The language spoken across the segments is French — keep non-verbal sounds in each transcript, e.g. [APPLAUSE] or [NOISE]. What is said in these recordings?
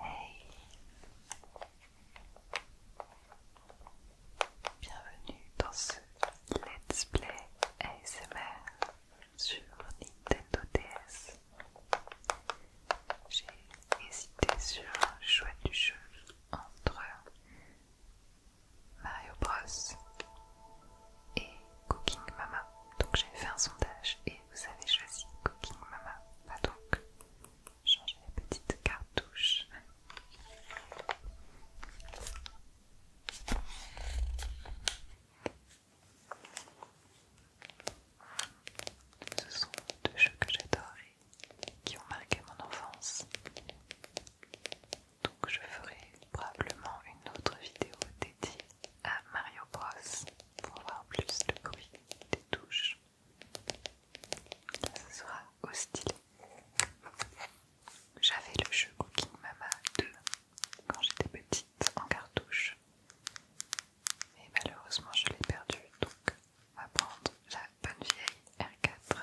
Hey Bienvenue dans ce Let's Play ASMR sur Nintendo DS. J'ai hésité sur le choix du jeu entre Mario Bros et Cooking Mama. Donc j'ai fait un sondage et vous avez choisi Cooking Mama. Va donc changer les petites cartouches. Ce sont deux jeux que j'adore et qui ont marqué mon enfance donc je ferai probablement une autre vidéo dédiée à Mario Bros pour voir plus le bruit des touches. Ce sera au J'avais le jeu Cooking Mama 2 quand j'étais petite en cartouche. Mais malheureusement je l'ai perdu donc on va prendre la bonne vieille R4.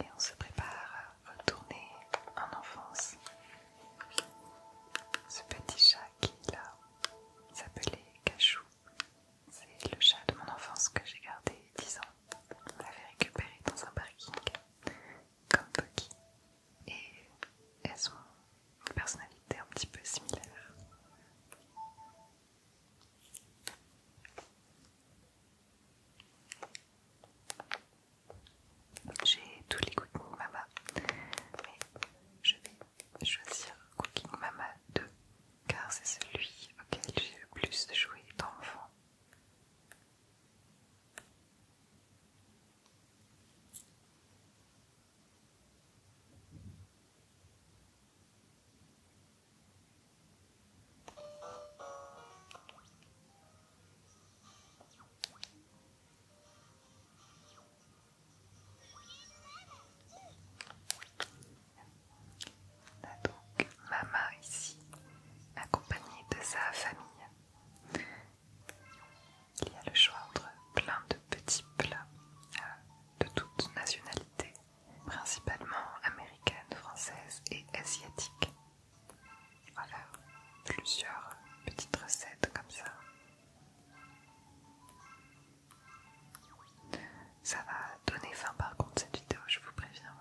Et on se prépare à retourner en enfance. Ce petit chat qui là s'appelait Cachou. C'est le chat de mon enfance que j'ai gardé 10 ans. On l'avait récupéré dans un parking comme Pocky et elles ont une personnalité un petit peu similaire. J'ai tous les Cooking Mama, mais je vais choisir Cooking Mama 2 car c'est celui auquel j'ai le plus joué d'enfant. On donc Mama ici, accompagnée de sa famille. Il y a le choix entre plein de petits plats euh, de toutes nationalités, principalement américaines, françaises et asiatiques. Voilà, plusieurs petites recettes comme ça. Ça va donner faim par contre cette vidéo, je vous préviens.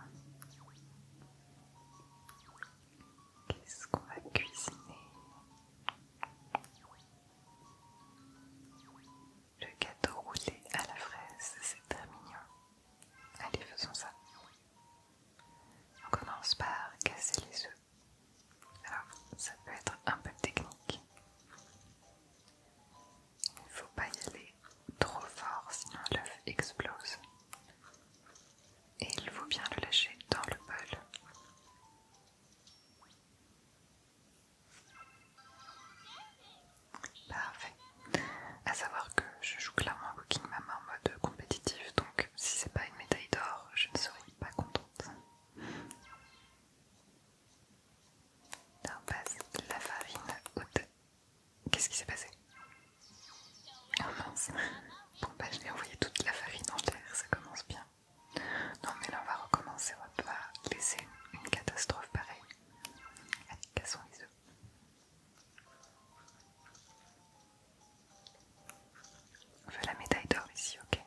Qu'est-ce qu'on va cuisiner le gâteau roulé à la fraise, c'est très mignon. Allez, faisons ça. On commence par casser les œufs. Alors, ça peut être un peu technique. Il ne faut pas y aller trop fort, sinon l'œuf explose. Et il vaut bien le lâcher dans le bol. Parfait. À savoir que je joue clairement à Cooking Mama en mode compétitif, donc si c'est pas une médaille d'or, je ne serai pas contente. Là, la farine haute. Qu'est-ce qui s'est passé Oh mince Bon bah je l'ai envoyé toute la farine en ça commence bien. Non mais là on va recommencer, on va pas laisser une, catastrophe pareille. Allez, cassons les On veut la médaille d'or ici, ok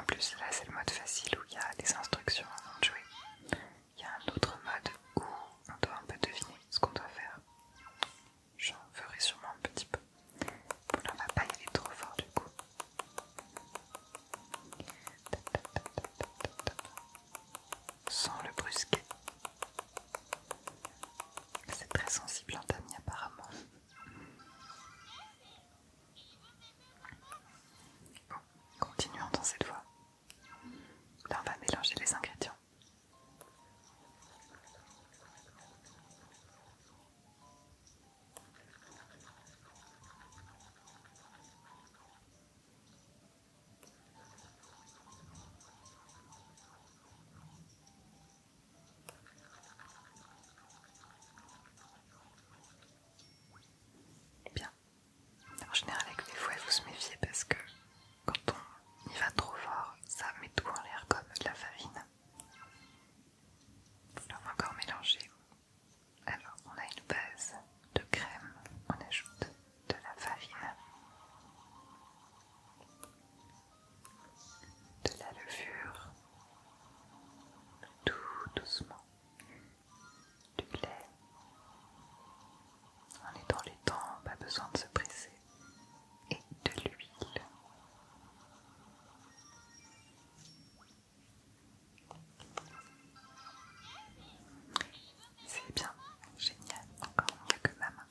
En plus là c'est le mode facile où il y a les instructions avant de jouer. Il y a un autre mode où on doit un peu deviner ce qu'on doit faire j'en ferai sûrement un petit peu. Pour là on va pas y aller trop fort du coup. Sans le brusquer. C'est très sensible en hein, apparemment. Bon, continuons dans cette voie. Là on va mélanger les ingrédients. Eh bien, en général avec les fouets, vous se méfiez parce que quand on y va trop fort, ça met tout en l'air comme de la farine. on va encore mélanger. Alors, on a une base de crème, on ajoute de la farine, de la levure, tout doucement, du lait. On est dans les temps, pas besoin de se presser et de l'huile. C'est bien, génial, encore mieux que ma main.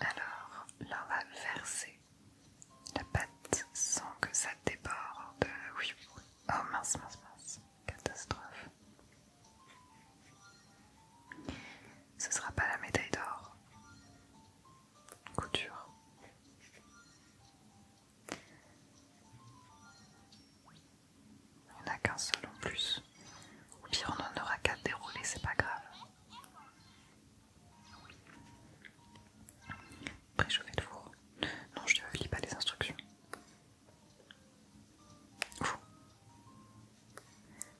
Alors, là on va verser la pâte sans que ça déborde. Euh, oui, oui. Oh mince, mince, mince. Catastrophe. Ce sera pas la médaille d'or. Couture. Il n'y en a qu'un seul en plus. Ou pire, on en aura qu'à déroulés. c'est pas grave. vais le four. Non, je ne lis pas les instructions.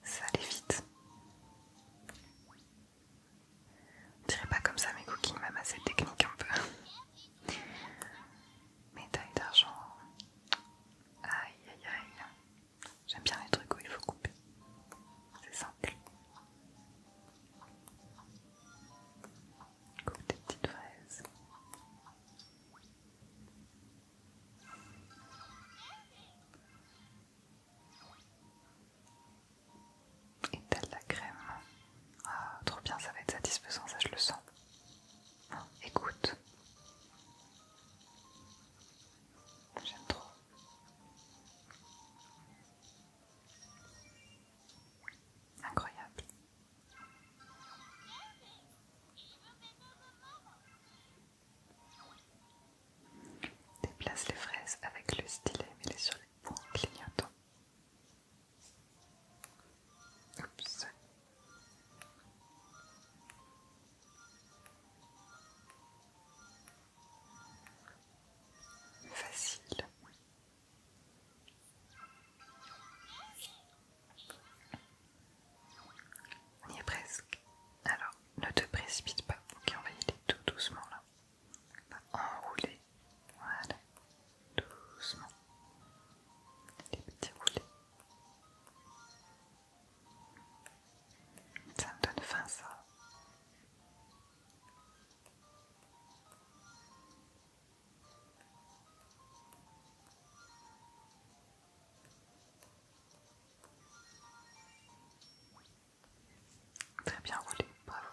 Ça allait vite. On dirait pas comme ça mes cooking même assez technique un peu. Médaille d'argent. Aïe aïe aïe. J'aime bien les trucs où il faut couper. C'est simple. Coupe des petites fraises. Et telle la crème. Ah, trop bien, ça va être satisfaisant, ça je le sens. écoute. J'aime trop. Incroyable. Déplace les fraises avec le stylet, mets-les sur les points clignotants. Facile. On y est presque. Alors, ne te précipite pas. Ok, on va y aller tout doucement là. On va enrouler. Voilà. Doucement. Les petits roulés. Ça me donne faim ça. Très bien roulé, bravo.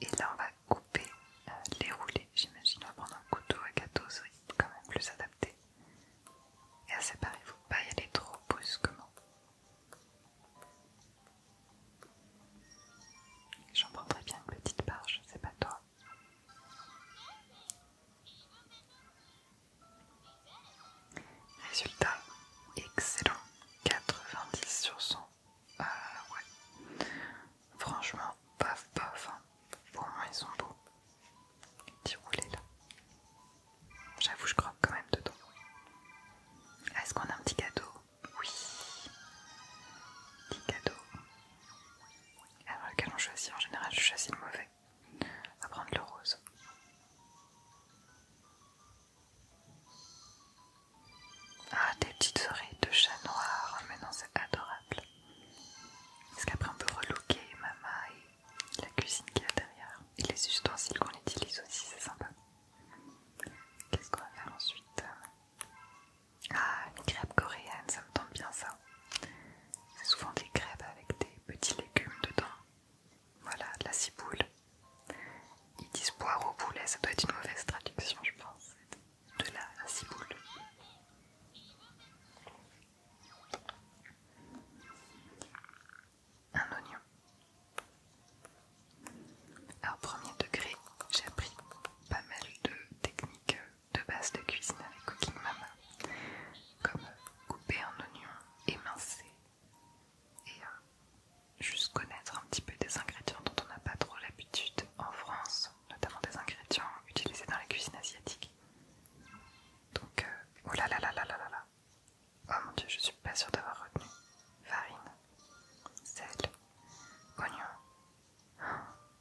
Et là on va couper euh, les roulés, j'imagine on va prendre un couteau à gâteau, c'est quand même plus adapté. Et à séparer, vous ne faut pas y aller trop brusquement. J'en prendrai bien une petite barge. je sais pas toi. Résultat, excellent. 90 sur 100. Ah euh, ouais. Franchement, paf paf. Hein. Pour moi, ils sont beaux. Petit roulé là. J'avoue, je croque quand même dedans. Est-ce qu'on a un petit cadeau oui. Petit cadeau. Alors lequel on choisit En général, je choisis le mauvais. On va prendre le rose. Ah, des petites oreilles de chat noir. Ah, mais non, c'est adorable. Parce qu'après, on peut relooker Mama et la cuisine qu'il y a derrière. Et les ustensiles qu'on utilise aussi, c'est sympa. Qu'est-ce qu'on va faire ensuite ah, une crêpe coréenne, ça me tombe bien ça. C'est souvent des crêpes avec des petits légumes dedans. Voilà, de la ciboule. Ils disent boire au poulet, ça doit être une mauvaise traduction, je pense. De la, la ciboule. Un oignon. Alors, premier degré, j'ai appris pas mal de techniques euh, de base de cuisine avec Cooking Mama, comme couper un oignon, émincer et euh, juste connaître un petit peu des ingrédients dont on n'a pas trop l'habitude en France, notamment des ingrédients utilisés dans la cuisine asiatique. Donc, euh, oh là là là là là là oh mon dieu, je suis pas sûre d'avoir retenu farine, sel, oignon,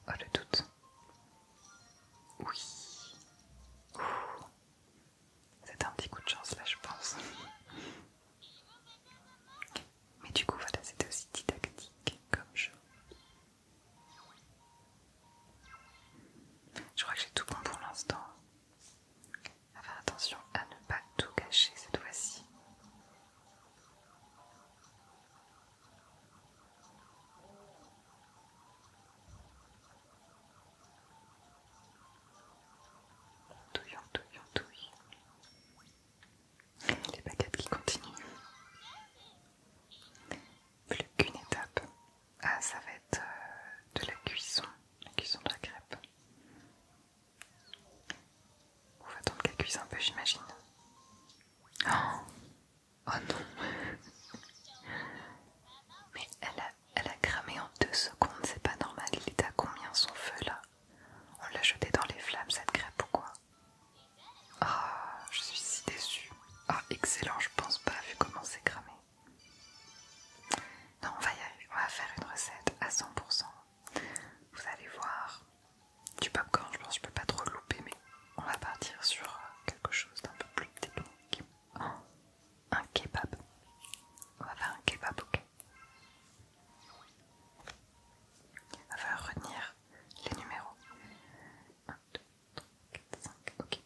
Oh, le doute. Oui. C'était un petit coup de chance là, je pense. Mais du coup, voilà, c'était aussi didactique comme jeu. Je crois que j'ai tout bon pour l'instant. faire attention à ne pas tout gâcher cette fois-ci touille, on touille. Les baguettes qui continuent. Plus qu'une étape. Ah, ça va être euh, de la cuisson, la cuisson de la crêpe. On va attendre qu'elle cuise un peu, j'imagine. Oh Oh non Mais elle a, cramé en deux secondes, c'est pas normal, il est à combien son feu là On l'a jeté dans les flammes cette crêpe Pourquoi Ah, je suis si déçue. Ah, excellent, je pense pas vu comment c'est cramé. Non, on va y aller, on va faire une recette à 100%. Vous allez voir, du popcorn, je pense que je peux pas trop louper, mais on va partir sur euh, quelque chose d'un peu plus technique. un kebab. On va faire un kebab, ok On va faire retenir les numéros. 1, 2, 3, 4, 5, ok.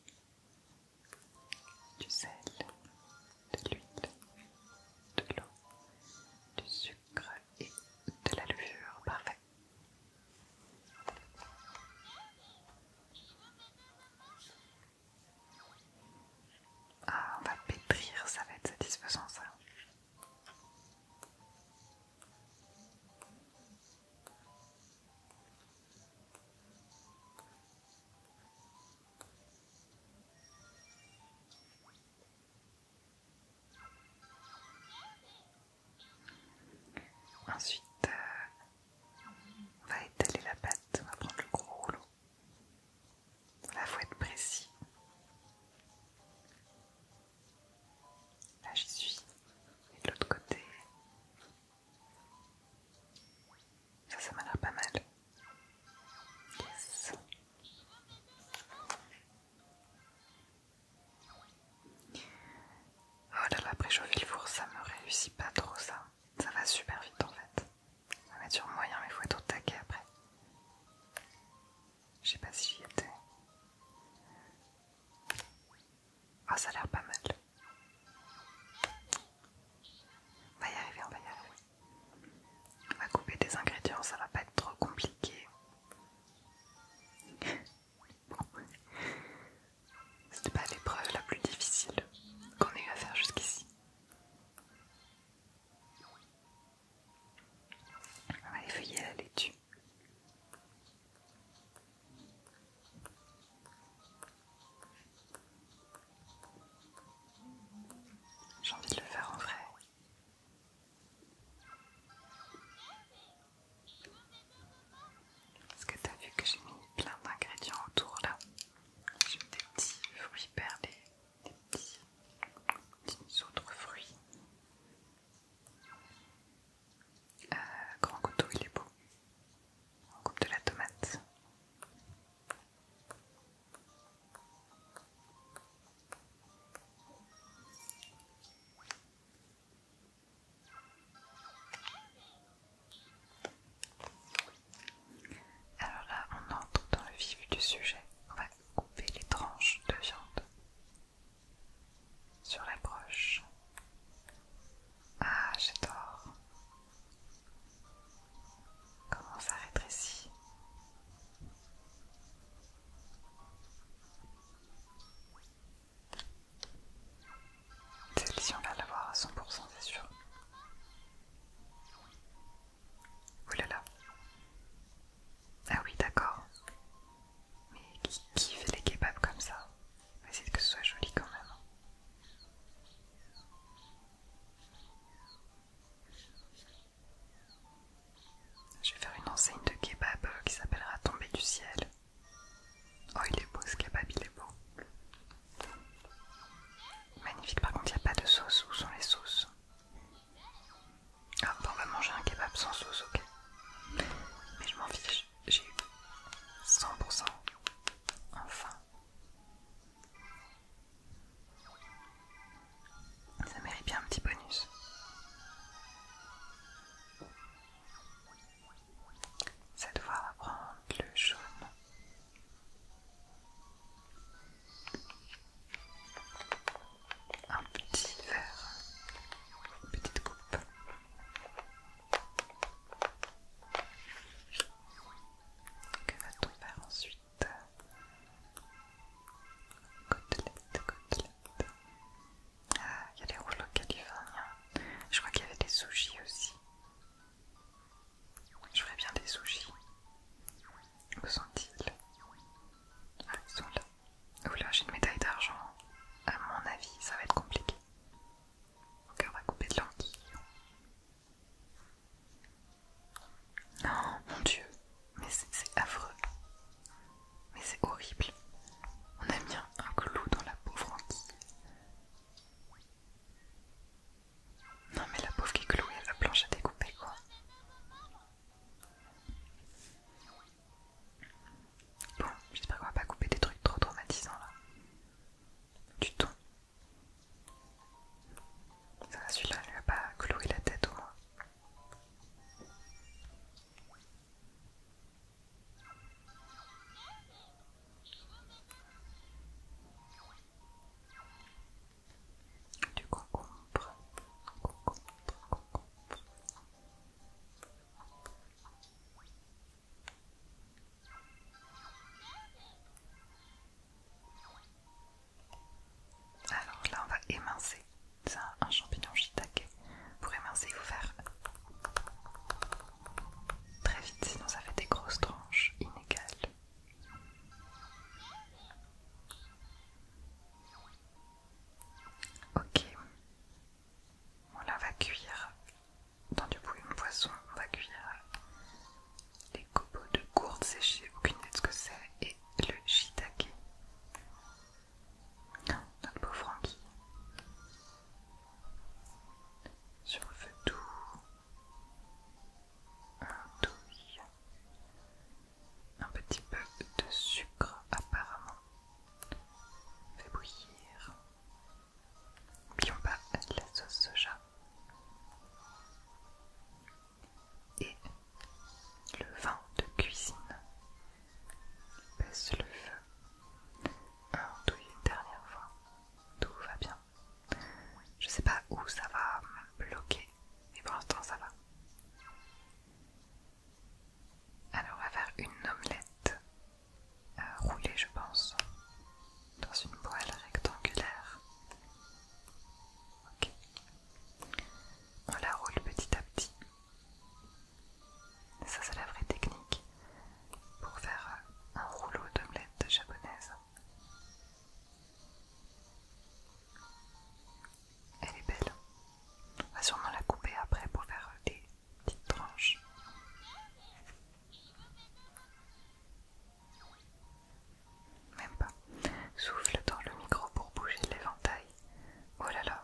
Du sel, de l'huile, de l'eau, du sucre et de la levure. Parfait. Ah, on va pétrir, ça va être satisfaisant ça. Ensuite, euh, on va étaler la pâte, on va prendre le gros rouleau. La il faut être précis. Là, j'y suis. Et de l'autre côté. Ça, ça m'a l'air pas mal. Yes. Oh là là, préchauffer le four, ça me réussit pas trop ça. Ça va super vite en fait. On va mettre sur moyen, mais faut être au taquet après. Je sais pas si j'y étais. oh, ça a l'air pas mal. On va y arriver, on va y arriver. On va couper des ingrédients, ça va pas être trop compliqué. [LAUGHS] C'était pas l'épreuve la plus difficile qu'on ait eu à faire jusqu'ici. On va effeuiller la laitue. J'ai envie de le faire en vrai. Est-ce que as vu que j'ai mis plein d'ingrédients autour là J'ai mis des petits fruits perlés, des petits, autres fruits. Euh, grand couteau, il est beau. On coupe de la tomate. Alors là, on entre dans le vif du sujet. On va couper les tranches de viande sur la broche. Ah, j'adore. Comment ça rétrécit celle-ci, on va l'avoir à 100%, c'est sûr. Oh là là. Ah oui, d'accord. Mais qui, fait les kebabs comme ça Mais que ce soit joli quand même. Je vais faire une enseigne de kebab euh, qui s'appellera Tomber du ciel. Oh, il est beau ce kebab, il est beau. Magnifique, par contre, il n'y a pas de sauce. Où sont les sauces Ah, on va manger un kebab sans sauce, ok. Mais je m'en fiche, j'ai eu 100%. Enfin. Ça mérite bien un petit bonus. Cette fois, on va prendre le jaune. Un petit verre, une petite coupe. Que va-t-on faire ensuite Côtelette, côtelette. Ah, il y a des rouleaux californiens. Hein. Je crois qu'il y avait des sushis aussi. Je voudrais bien des sushis. Où sont-ils Ah, ils sont là. Oula, j'ai une médaille d'argent. À mon avis, ça va être compliqué. Mon on va couper de l'anguille. Oh mon dieu, mais c'est affreux. Mais c'est horrible. On aime bien un clou dans la pauvre. Frankie. Non mais la pauvre qui est clouée à la planche à découper quoi. Bon, j'espère qu'on va pas couper des trucs trop traumatisants là. Du tout. Ça va, celui-là, il va pas clouer la tête au moins. Du concombre, Alors là, on va émincer. un, un champignon shiitake pour émincer, vous faire très vite, sinon ça fait des grosses tranches inégales. Ok, on la va cuire dans du bouillon de poisson, on va cuire les copeaux de gourde séchée, aucune idée de ce que c'est, et le shiitake. Notre beau Francky. Sur le feu doux. Un douille. Un petit peu de sucre apparemment. Fait bouillir. N'oublions pas la sauce soja. Et le vin de cuisine. Baisse le feu. douille une dernière fois. Tout va bien. Je sais pas où ça va bloquer, mais pour l'instant ça va. Alors on va faire une omelette euh, roulée je pense dans une poêle rectangulaire. Ok. On la roule petit à petit. Ça, c'est la vraie technique pour faire un rouleau d'omelette japonaise. Elle est belle. On va sûrement la couper après pour faire des petites tranches. Même pas. Souffle dans le micro pour bouger l'éventail. Oh là là,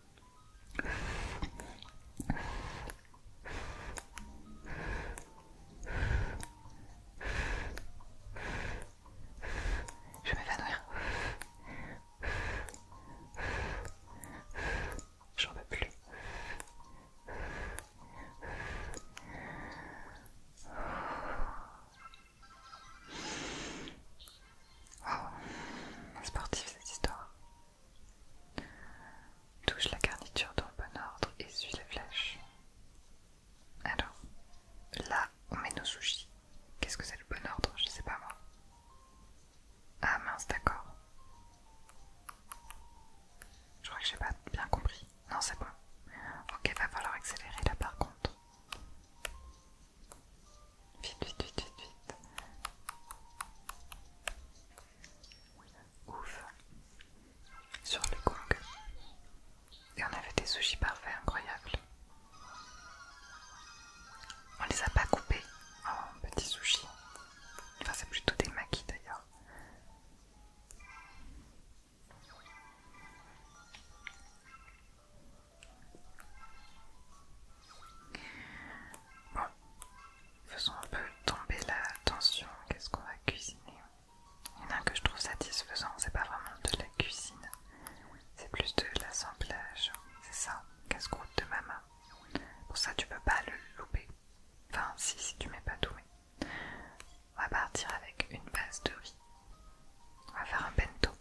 Je vais m'évanouir. J'en peux plus. Wow, sportif cette histoire. Touche la garniture dans le bon ordre et suis les flèches. Alors, là, on met nos sushis. Qu'est-ce que c'est le bon ordre Je sais pas moi. Ah mince, d'accord. Je crois que j'ai pas bien compris. Non, c'est bon. Ok, va falloir accélérer là par contre. Vite, vite, vite, vite, vite. Ouf. Sur le cook. Et on avait des sushis parfaits, incroyables. On les a pas coupés en petits sushis. Enfin, c'est plutôt des maquis d'ailleurs. Bon, faisons un peu tomber la tension. Qu'est-ce qu'on va cuisiner Il y en a que je trouve satisfaisant, c'est pas vraiment de la cuisine, c'est plus de l'assemblage. C'est ça, casse-croûte de maman. Pour ça, tu peux pas le louper. Enfin, si, si tu mets pas doué. On va partir avec une base de riz. On va faire un bento.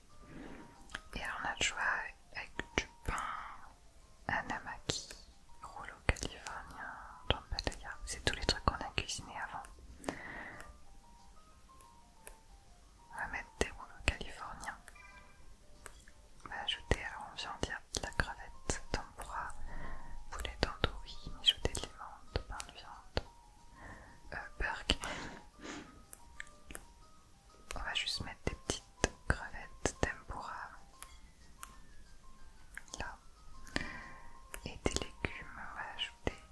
Et alors on a le choix avec du pain, anamaki, rouleau californien, jambes C'est tous les trucs qu'on a cuisinés avant. On va mettre des rouleaux californiens. On va ajouter, alors on vient de la crevette, tempura, poulet tandoori, mijoté de l'imande, pain de viande, euh, on va juste mettre des petites crevettes tempura là et des légumes on va ajouter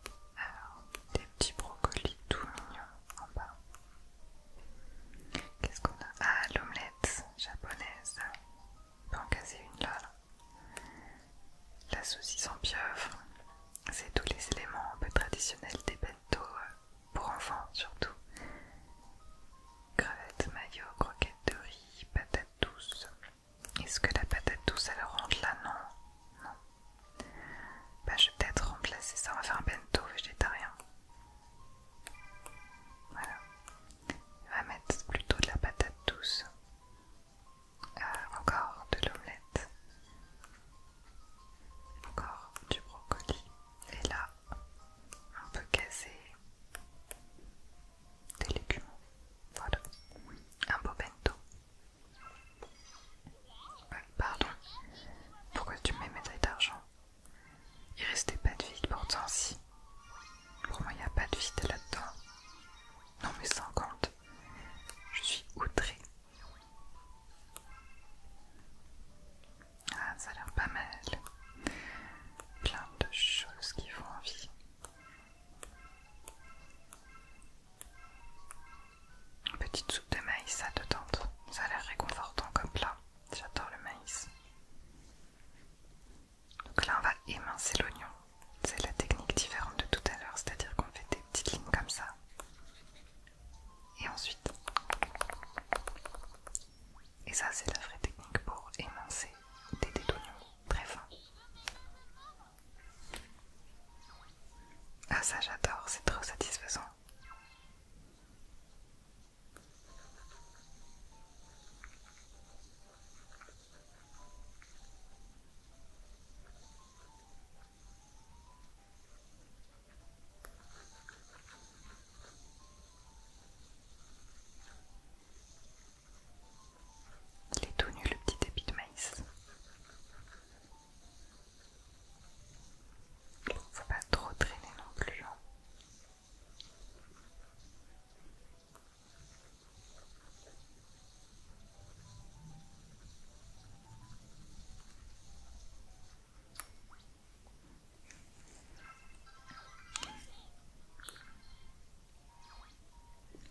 des petits brocolis tout mignons en bas qu'est-ce qu'on a ah l'omelette japonaise on peut en caser une là, la saucisse en pieuvre c'est tous les éléments un peu traditionnels des bento euh, pour enfants surtout. Crevettes, maillot, croquettes de riz, patates douces. Est-ce que la patate douce elle rentre là Non. Non. Bah je vais peut-être remplacer ça, on va faire un bento végétarien. Voilà. On va mettre plutôt de la patate douce. Euh, encore de l'omelette. Encore du brocoli. Et là, un peu cassé, des légumes. Voilà, un beau bento. pardon, pourquoi tu mets mes d'argent Il restait pas de vide pourtant, si. Pour moi, il n'y a pas de vide là-dedans. Non, mais compte, Je suis outrée. Ah, ça a l'air pas mal. Plein de choses qui font envie. Une petite soupe de maïs, ça te tente. Ça a l'air réconfortant comme plat. J'adore le maïs. Donc là, on va émincer l'oignon. C'est la technique différente de tout à l'heure, c'est-à-dire qu'on fait des petites lignes comme ça. Et ensuite, et ça c'est la vraie technique pour émincer des dés très fins. Ah ça j'adore, c'est trop satisfaisant. Il est tout nu le petit débit de maïs. Faut pas trop traîner non plus. Hein.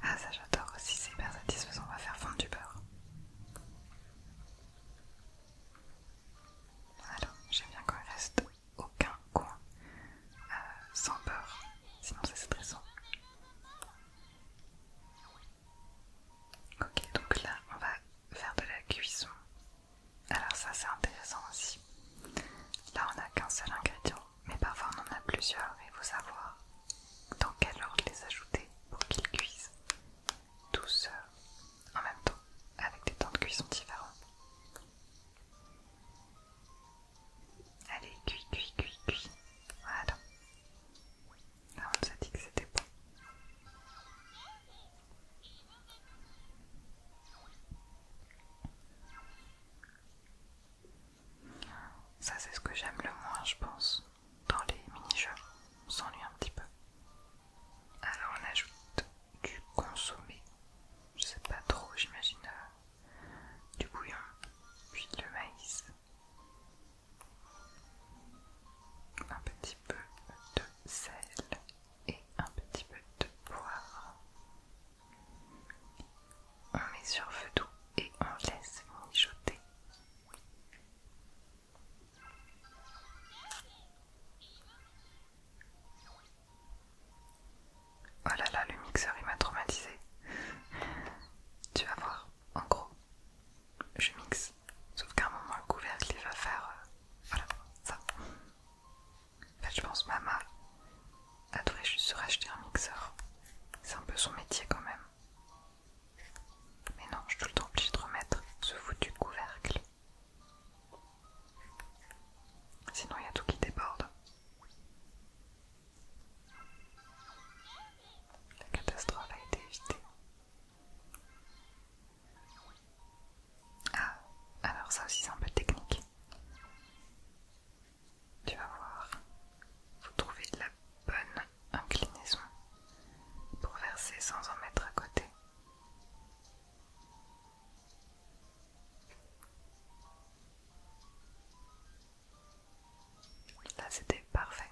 Ah ça j'adore aussi, c'est hyper satisfaisant, on va faire fondre du beurre. Alors, j'aime bien qu'on reste aucun coin euh, sans beurre, sinon c'est stressant. Ok, donc là on va faire de la cuisson alors ça c'est intéressant aussi. Là on n'a qu'un seul ingrédient, mais parfois on en a plusieurs et il faut savoir dans quel ordre les ajouter pour qu'ils cuisent tous euh, en même temps, avec des temps de cuisson différents. Allez, cuit, cuit, cuit, cuit. Voilà. Là on nous a dit que c'était bon. Ça c'est ce que j'aime le moins je pense dans les mini-jeux, on s'ennuie un petit peu. Alors on ajoute du consommé, je sais pas trop, j'imagine euh, du bouillon, puis le maïs, un petit peu de sel et un petit peu de poivre. On met sur feu doux et on laisse mijoter. Oh là là, le mixeur il m'a traumatisé. Tu vas voir, en gros, je mixe Sauf qu'à un moment, le couvercle il va faire. Euh, voilà, ça. En fait, je pense Mama devrait juste se racheter un mixeur. C'est un peu son métier quand même. Mais non, je suis le temps obligée de remettre ce foutu couvercle. Sinon, il y a tout qui déborde. La catastrophe a été évitée. Ah, alors ça aussi c'est un peu technique. Tu vas voir, vous trouvez de la bonne inclinaison pour verser sans en mettre à côté. Là c'était parfait.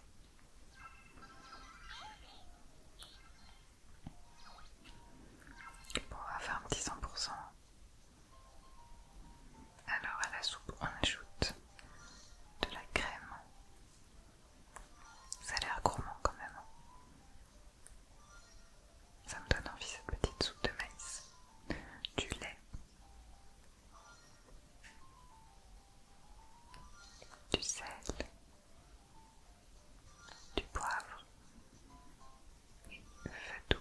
Bon, on va faire un petit 100%. Alors à la soupe, on ajoute de la crème. Ça a l'air gourmand quand même. Hein. Ça me donne envie cette petite soupe de maïs. Du lait. Du sel du poivre et feu doux.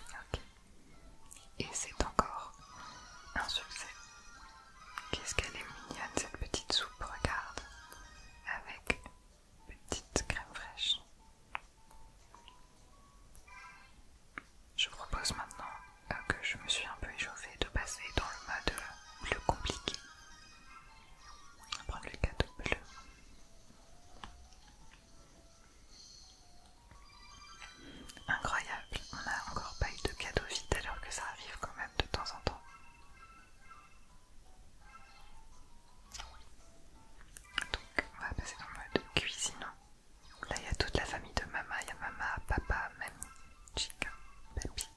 Ok. Et c'est encore un succès. Qu'est-ce qu'elle est mignonne cette petite soupe, regarde, avec petite crème fraîche. Je propose maintenant, euh, que je me suis un peu échauffée, de passer dans le mode bleu euh, compliqué. On va prendre le cadeau bleu. Incroyable, on n'a encore pas eu de cadeau vide alors que ça arrive quand même de temps en temps. Donc on va passer dans le mode cuisinant. Là, il y a toute la famille de maman, Il y a Mama, Papa, Mamie, Chica, papi,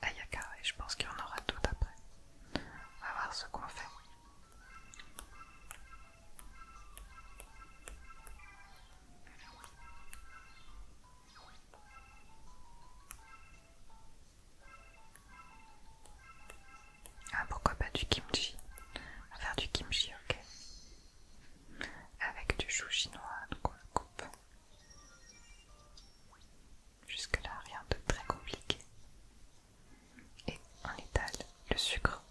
Ayaka. Et je pense qu'il y en aura tout après. On va voir ce qu'on fait. Ah pourquoi pas du kimchi On va faire du kimchi, ok avec du chou chinois, donc on le coupe. Jusque là, rien de très compliqué. Et on étale le sucre.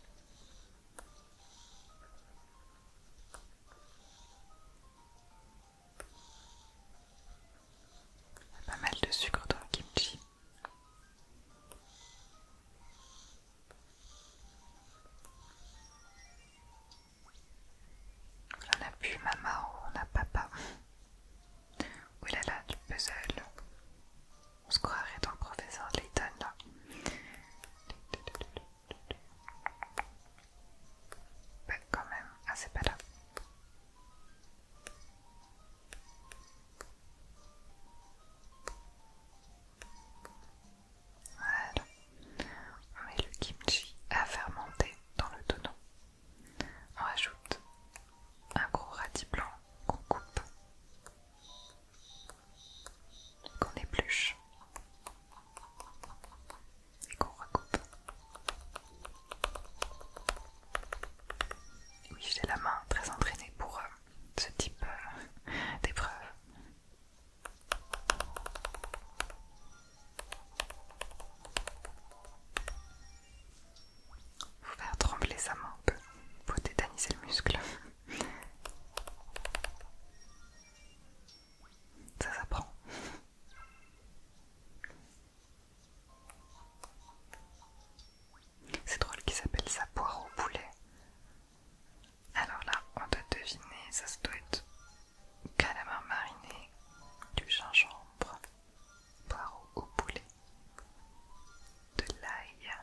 Pas mal de sucre dans le kimchi. On a plus maman, ou on a papa. Oh là là, du puzzle. On se croirait dans le professeur Layton là. Bah quand même, ah c'est pas là. Voilà. On met le kimchi à fermenter dans le tonneau. On rajoute un gros radis blanc qu'on coupe, qu'on épluche et qu'on recoupe. Oui, j'ai la main très entraînée pour euh, ce type euh, d'épreuve. Faut faire trembler sa main un peu, faut tétaniser le muscle. Ça s'apprend. C'est drôle qu'il s'appelle sa poire au poulet. Alors là, on doit deviner, ça, doit être calamar mariné, du gingembre, poireau au poulet, de l'ail.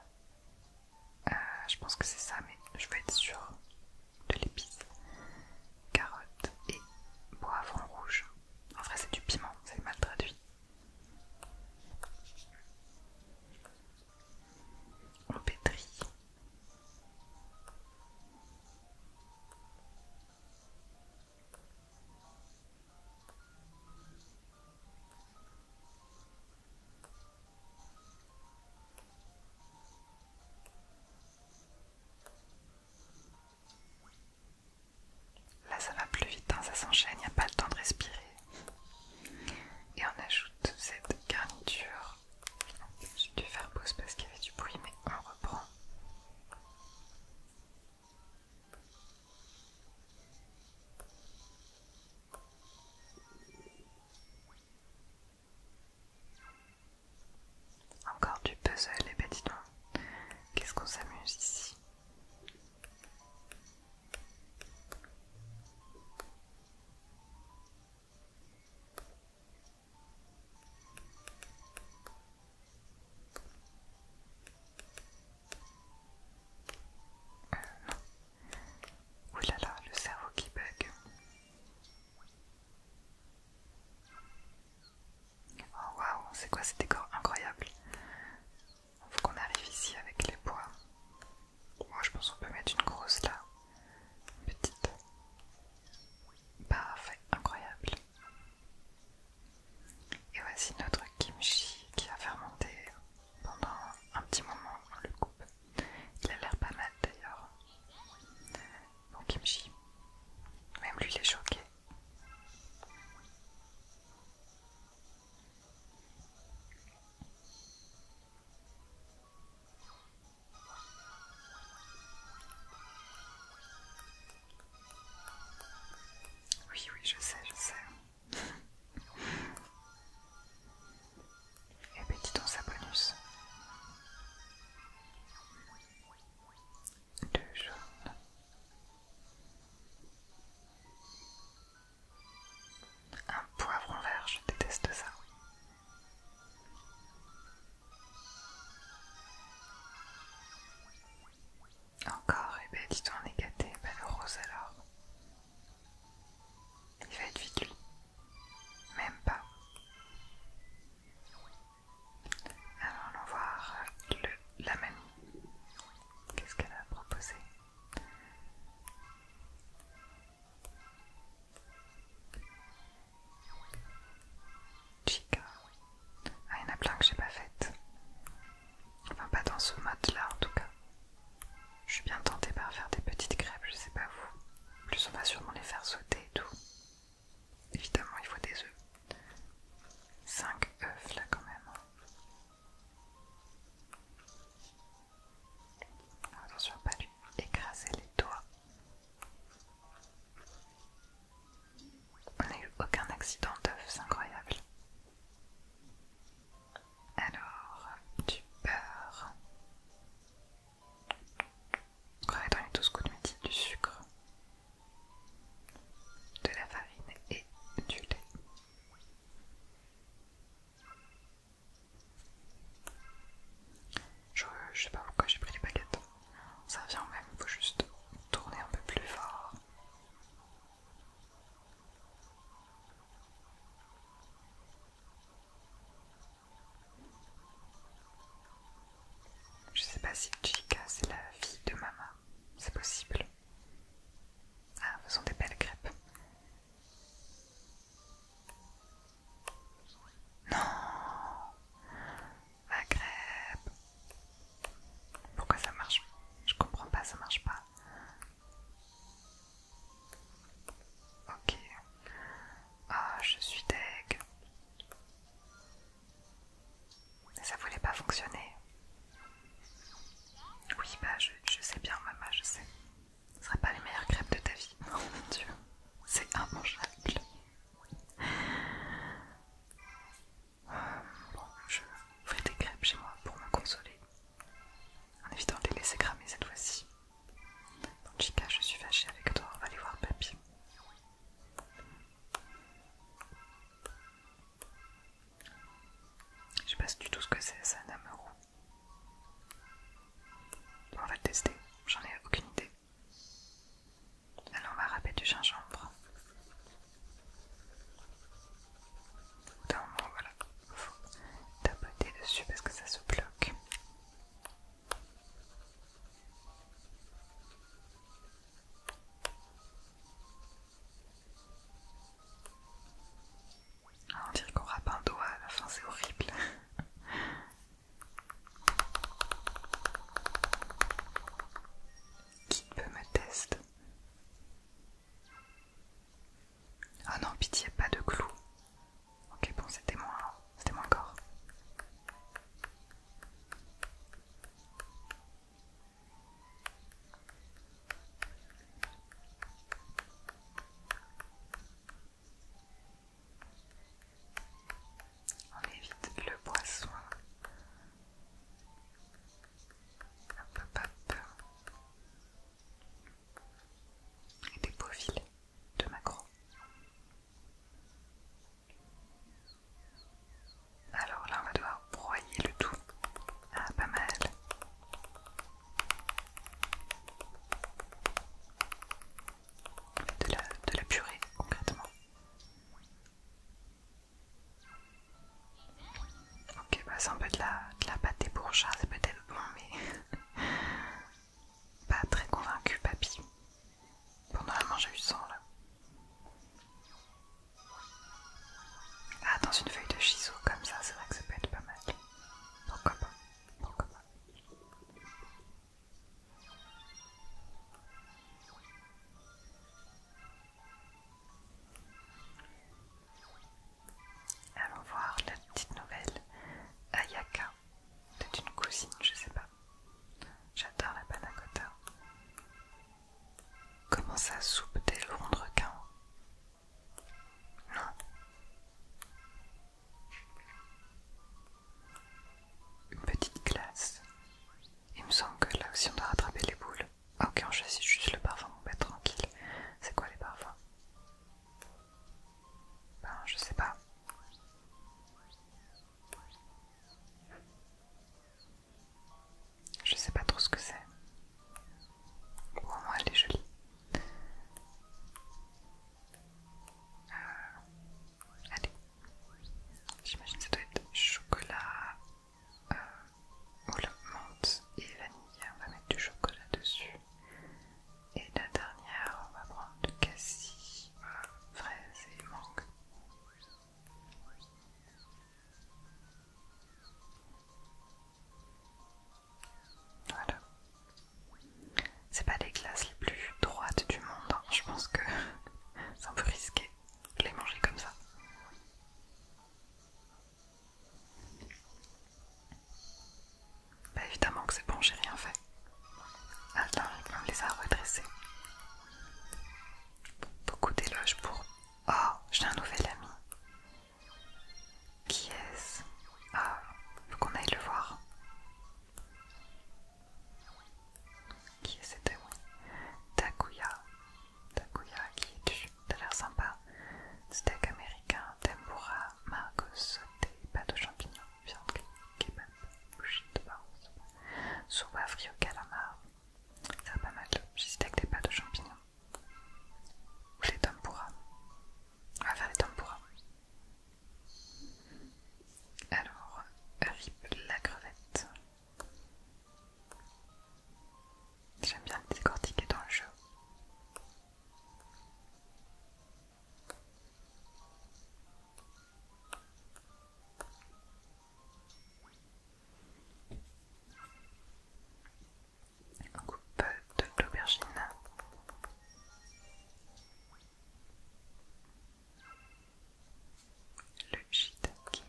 Euh, je pense que c'est ça, mais je vais être sûre de l'épice. Carotte et poivron rouge. En vrai, c'est du piment, c'est mal traduit on pétrit. Là, ça va plus vite, hein, ça s'enchaîne, il n'y a pas le temps de respirer. Et on ajoute cette garniture j'ai dû faire pause parce qu'il y avait du bruit, mais on reprend. Encore du puzzle, et eh petits ben, dis qu'est-ce qu'on s'amuse ici oui, là là, le cerveau qui bug. Oh waouh, c'est quoi décor incroyable On Faut qu'on arrive ici avec les poids. Moi je pense qu'on peut mettre une grosse là. petite. Parfait, incroyable. Et voici notre kimchi qui a fermenté pendant un petit moment, on le coupe. Il a l'air pas mal d'ailleurs. Bon kimchi. Même lui il est choqué. Oui, oui, je sais, je sais. Et eh petit ben, dis donc ça bonus. Deux jaunes. Un poivron vert, je déteste ça. Oui. Encore, et eh ben dis on est gâté. le rose alors. Il va être vite lui. Même pas. Alors, allons voir la mamie. Qu'est-ce qu'elle a proposé Chica. Ah, il y en a plein que j'ai pas fait. Enfin, pas dans ce mode-là en tout cas. Je suis bien tentée par faire des petites crêpes, je sais pas vous. En plus, on va sûrement les faire sauter et tout. Évidemment, il faut des œufs. 5 œufs là quand même. Ah, attention, pas lui écraser les doigts. On n'a eu aucun accident d'œuf, c'est incroyable. Alors, du beurre. mettre dans les 12 coups de midi, du sucre, de la farine et du lait. Euh, je, sais pas pourquoi j'ai pris les baguettes. Ça vient même, il faut juste tourner un peu plus fort. Je sais pas si Chica c'est la fille de maman. c'est possible. Ah, sont des belles crêpes. Non La crêpe Pourquoi ça marche Je comprends pas, ça marche pas. Ok. Ah, je suis deg. Ça voulait pas fonctionner. Oui, bah je, je sais bien, maman, je sais. Ce sera pas les meilleures crêpes de ta vie. [LAUGHS] Oh mon dieu, c'est un euh, bon, je ferai des crêpes chez moi pour me consoler. En évitant de les laisser cramer cette fois-ci. Chica, je suis fâchée avec toi, on va aller voir papy. Je sais pas du tout ce que c'est, ça, Bon, On va le tester, j'en ai aucune idée. Alors on va râper du gingembre. Au voilà, faut tapoter dessus parce que ça se bloque. on dirait qu'on rappe un doigt à la fin, c'est horrible. Qui peut me tester Ah non, pitié, pas de clou. Ok, bon, c'était moi, c'était moi encore. On évite le poisson. Hop, peur, Et des beaux filets de macro. Alors là, on va devoir broyer le tout. Ah, pas mal de la, de la purée concrètement. Ok, bah c'est un peu de la, de la pâté pour c'est peut-être bon, mais [LAUGHS] pas très convaincu, papy. Pour normalement j'ai eu sang là. Ah, dans une feuille de chiseau comme ça, c'est vrai que ça peut être pas mal. Pourquoi pas Pourquoi pas Allons voir la petite nouvelle Ayaka. C'est une cousine, je sais pas. J'adore la panna Comment ça soupe des Londres requins Non. Une petite glace. Il me semble que là aussi on doit rattraper les boules. Ah, ok, on choisit juste le parfum, on tranquille. C'est quoi les parfums Ben, je sais pas. Je sais pas trop ce que c'est. moi elle est jolie. Euh, allez, j'imagine que ça doit être chocolat, euh, ou la menthe et vanille. On va mettre du chocolat dessus. Et la dernière, on va prendre du cassis, euh, fraise et mangue. Voilà. C'est pas les glaces les plus droites du monde, hein. je pense que [LAUGHS] c'est un peu risqué de les manger comme ça. Bah évidemment que c'est bon, j'ai rien fait. Ah, on les a redressés. Beaucoup d'éloges pour... Oh, j'ai un nouvel ami. Qui est-ce Ah, faut qu'on aille le voir. Oui. Qui est c'était? oui Takuya. Takuya qui est du... T'as l'air sympa. Steak américain, tempura, margot des pâtes aux champignons, viande kebab, bougie de baronce, soupe à au calamar. Ça va pas mal, le steak des pâtes aux champignons. Ou les tempuras. On va faire les tempura. Alors, rip la crevette. J'aime bien le décortiquer dans le jeu. coupe de l'aubergine. Le shiitake.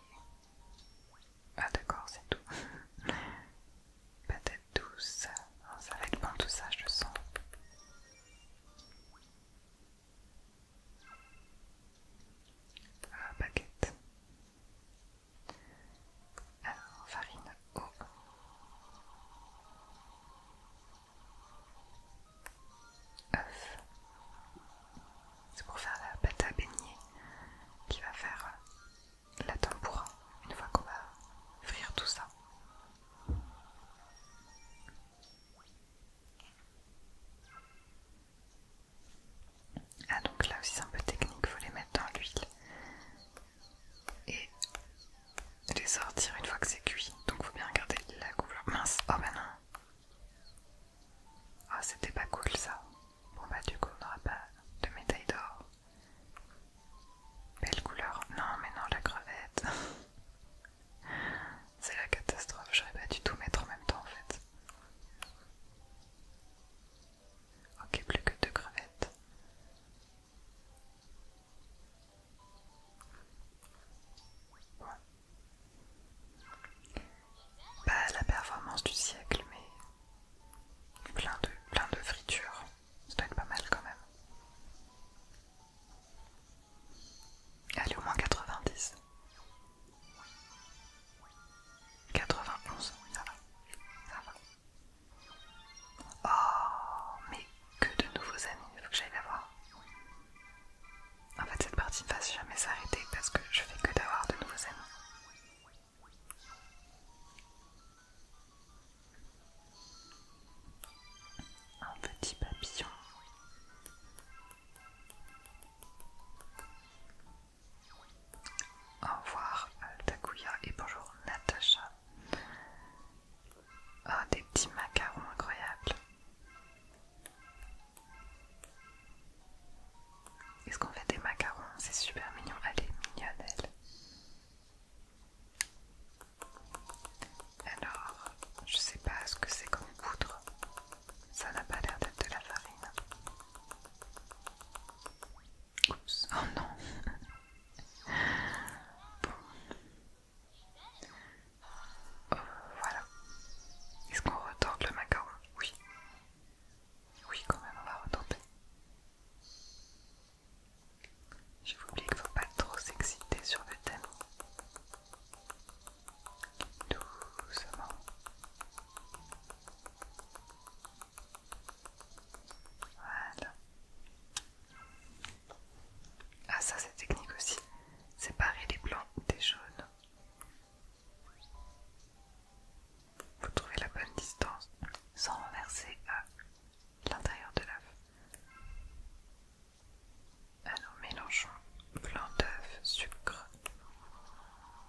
Ah d'accord, c'est tout. [LAUGHS] Patate douce. ça va être bon tout ça, je le sens. Ah, baguette. Alors, farine, eau. C'est pour faire la pâte à beignet qui va faire euh, la tempura une fois qu'on va frire tout ça. Ah donc là aussi c'est un peu technique, il faut les mettre dans l'huile et les sortir une fois que c'est cuit. Donc faut bien garder la couleur. Mince, oh ben non. Ah, c'était pas cool ça. Bon bah du coup on n'aura pas de médaille d'or. Belle couleur. Non mais non, la crevette. [LAUGHS] c'est la catastrophe, j'aurais pas du tout mettre en même temps en fait. Ok, plus que deux crevettes. Pas la performance du siècle, mais plein de, plein de fritures. Ça doit être pas mal quand même. est au moins 90. 91, Ça va. Oh, mais que de nouveaux amis, il faut que j'aille la voir. En fait, cette partie ne va jamais s'arrêter parce que je fais que d'avoir de nouveaux amis. Un petit papillon. Au revoir Altakuya et bonjour Natacha. Oh, des petits macarons incroyables. Est-ce qu'on fait des macarons C'est super mignon. Elle est Alors, je sais pas ce que c'est comme poudre. Ça n'a pas l'air d'être de la farine. Oups, oh non! [LAUGHS] Bon, voilà. Est-ce qu'on retorte le macaron Oui. Oui, quand même, on va retomber. Je vous dis qu'il ne faut pas trop s'exciter sur le thème. Doucement. Voilà. Ah ça c'est technique aussi, séparer les blancs des jaunes. Vous trouvez la bonne distance sans renverser à l'intérieur de l'œuf. Alors mélangeons blanc d'œuf, sucre,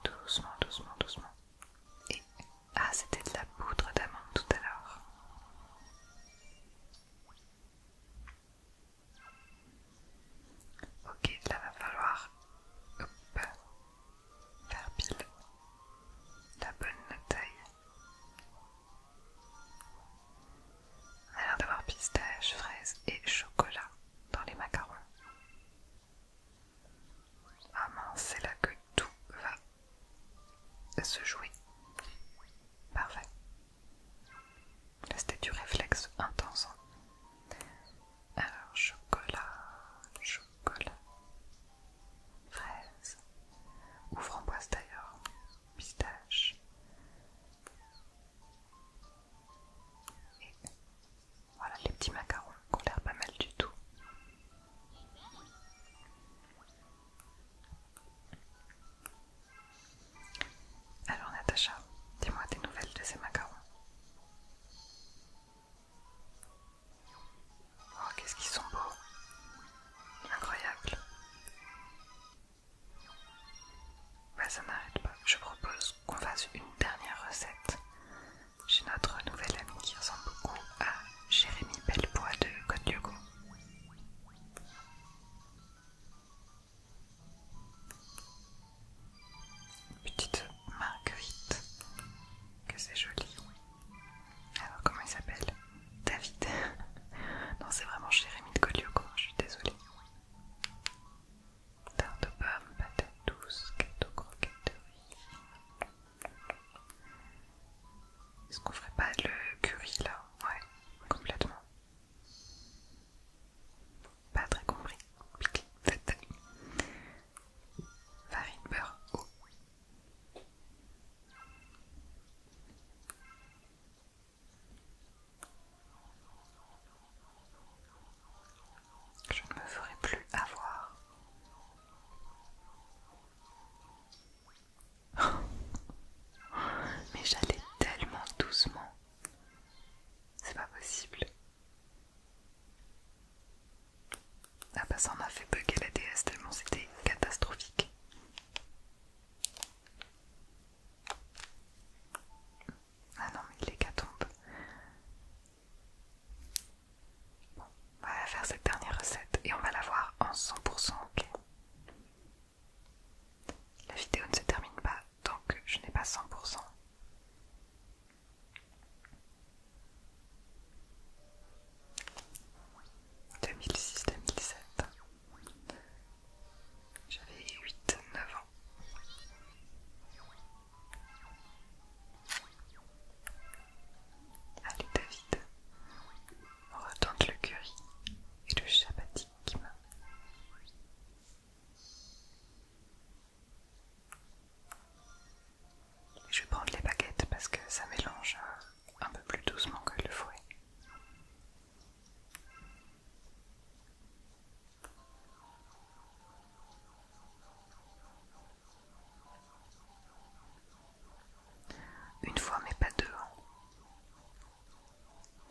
doucement, doucement, doucement. Et ah c'était de la poudre d'amande tout à l'heure. Ok, là va falloir faire pile la bonne taille. On a l'air d'avoir pistache, fraise et chocolat dans les macarons. Ah mince, c'est là que tout va se jouer. Parfait c'était du réflexe intense. Alors, chocolat, chocolat, fraise, ou framboise d'ailleurs, pistache. Et voilà les petits macarons qui ont l'air pas mal du tout. Alors Natacha, dis-moi des nouvelles de ces macarons. Oh, qu'est-ce qu'ils sont beaux Incroyable bah, ça n'arrête pas. Je propose qu'on fasse une dernière recette. chez notre nouvelle amie qui ressemble beaucoup à Jérémy Bellepoix de Code Petite Marguerite, que c'est joli. Alors comment il s'appelle David. [LAUGHS] non, c'est vraiment Jérémy de Colioco, je suis désolée. Tarte aux pommes, patate douce, de riz... Est-ce qu'on ferait pas le curry là Ouais, complètement. Pas très compris. Pique. Farine, beurre, Je ne me ferai plus avoir. [LAUGHS] Mais j'allais tellement doucement. C'est pas possible. Ah bah ça en a fait bugger la déesse tellement c'était catastrophique. Ah non mais l'hécatombe. Bon, on va faire cette dernière recette et on va la voir en 100% ok. La vidéo ne se termine pas tant que je n'ai pas 100%. « 2006-2007 J'avais 8-9 ans. Allez David, on retente le curry et le chapati je vais prendre les baguettes parce que ça mélange euh, un peu plus doucement que le fouet. Une fois mais pas deux. Hein.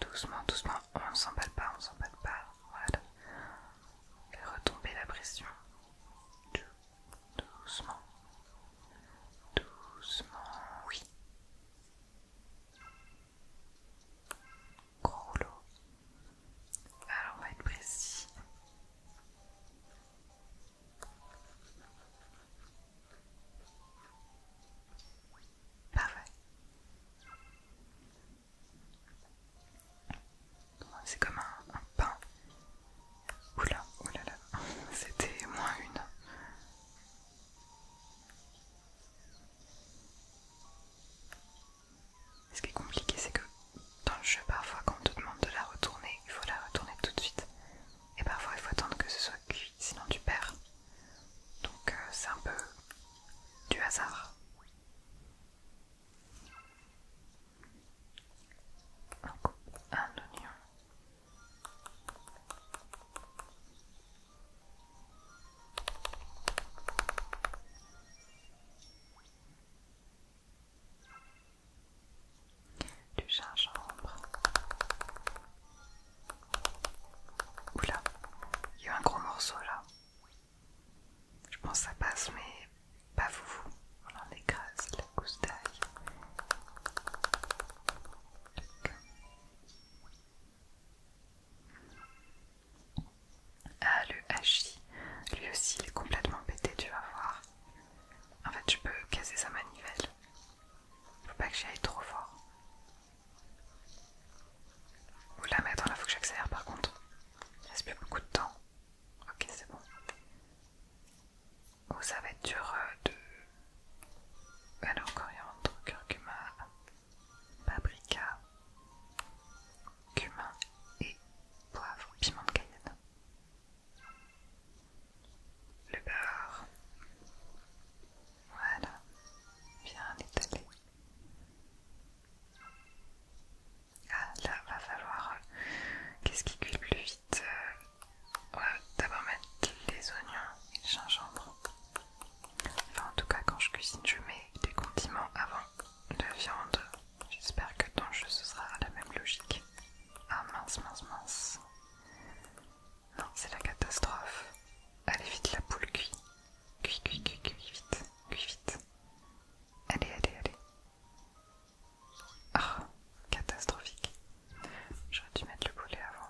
Doucement, doucement, oh, on ne s'emballe pas, on ne s'emballe pas. Voilà. retomber la pression. Doucement. Doucement, oui. Gros Alors on va être précis. Parfait. C'est comme un, pain. Oula, oulala, oh [LAUGHS] c'était moins une. Ce qui est compliqué, c'est que dans le jeu, parfois, quand on te demande de la retourner, il faut la retourner tout de suite. Et parfois, il faut attendre que ce soit cuit, sinon tu perds. Donc euh, c'est un peu du hasard. un oignon. Du gingembre. Oula, il y a un gros morceau là. Je pense que ça passe, mais pas vous. On en écrase la gousse d'ail. Ah, le hachis, lui aussi il est complètement pété, tu vas voir. En fait, je peux casser sa manivelle. Faut pas que j'y aille trop fort la la mettre là faut que j'accélère par contre. Il reste plus beaucoup de temps. Ok, c'est bon. vous oh, ça va être dur euh, de. Alors, ah coriandre, hein, curcuma, paprika, cumin et poivre, piment de cayenne. Le beurre. Voilà, bien étalé. Ah, là, va falloir. Euh, qu'est-ce qui cuit plus vite euh, D'abord mettre les oignons et le gingembre. Enfin, en tout cas, quand je cuisine, je mets des condiments avant la viande. J'espère que dans le jeu, ce sera la même logique. Ah mince, mince, mince. Non, c'est la catastrophe. Allez vite, la poule cuit. Cuit, cuit, cuit, cuit, vite, cuit vite. Allez, allez, allez. Ah, catastrophique. J'aurais dû mettre le poulet avant.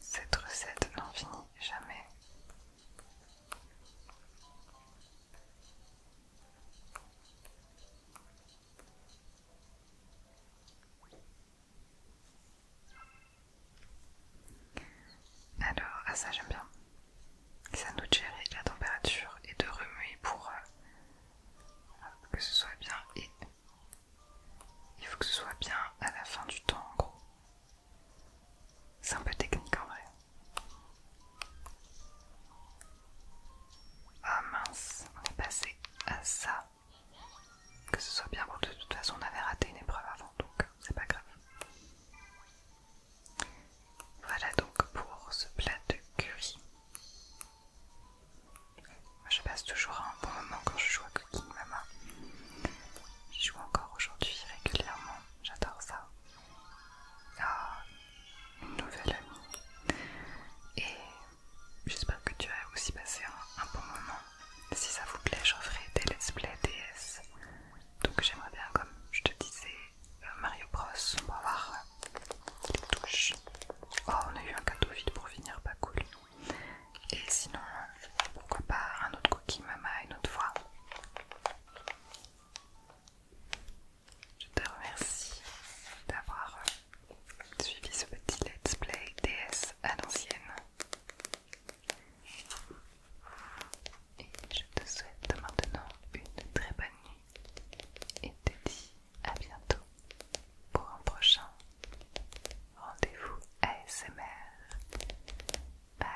Cette recette n'en finit jamais. Alors, à ah, ça j'aime bien. Ça nous gérer la température et de remuer pour euh, que ce soit bien et il faut que ce soit bien à la fin du temps en gros. C'est un peu technique en vrai. Ah mince, on est passé à ça. Que ce soit bien bon, de toute façon on avait raté une épreuve avant, donc c'est pas grave. Voilà donc pour ce plat de curry. Je passe toujours un bon moment quand je joue à Cooking Mama. Je joue encore aujourd'hui régulièrement, j'adore ça. Ah, une nouvelle amie. Et j'espère que tu as aussi passé un, bon moment. Si ça vous plaît, je ferai des let's play DS. Donc j'aimerais bien, comme je te disais, euh, Mario Bros. On va Oh, on a eu un cadeau vide pour finir, pas cool. Et sinon, pourquoi pas un autre cookie mama une autre fois Je te remercie d'avoir suivi ce petit let's play DS à l'ancienne. Et je te souhaite maintenant une très bonne nuit et te dis à bientôt pour un prochain rendez-vous ASMR. Bye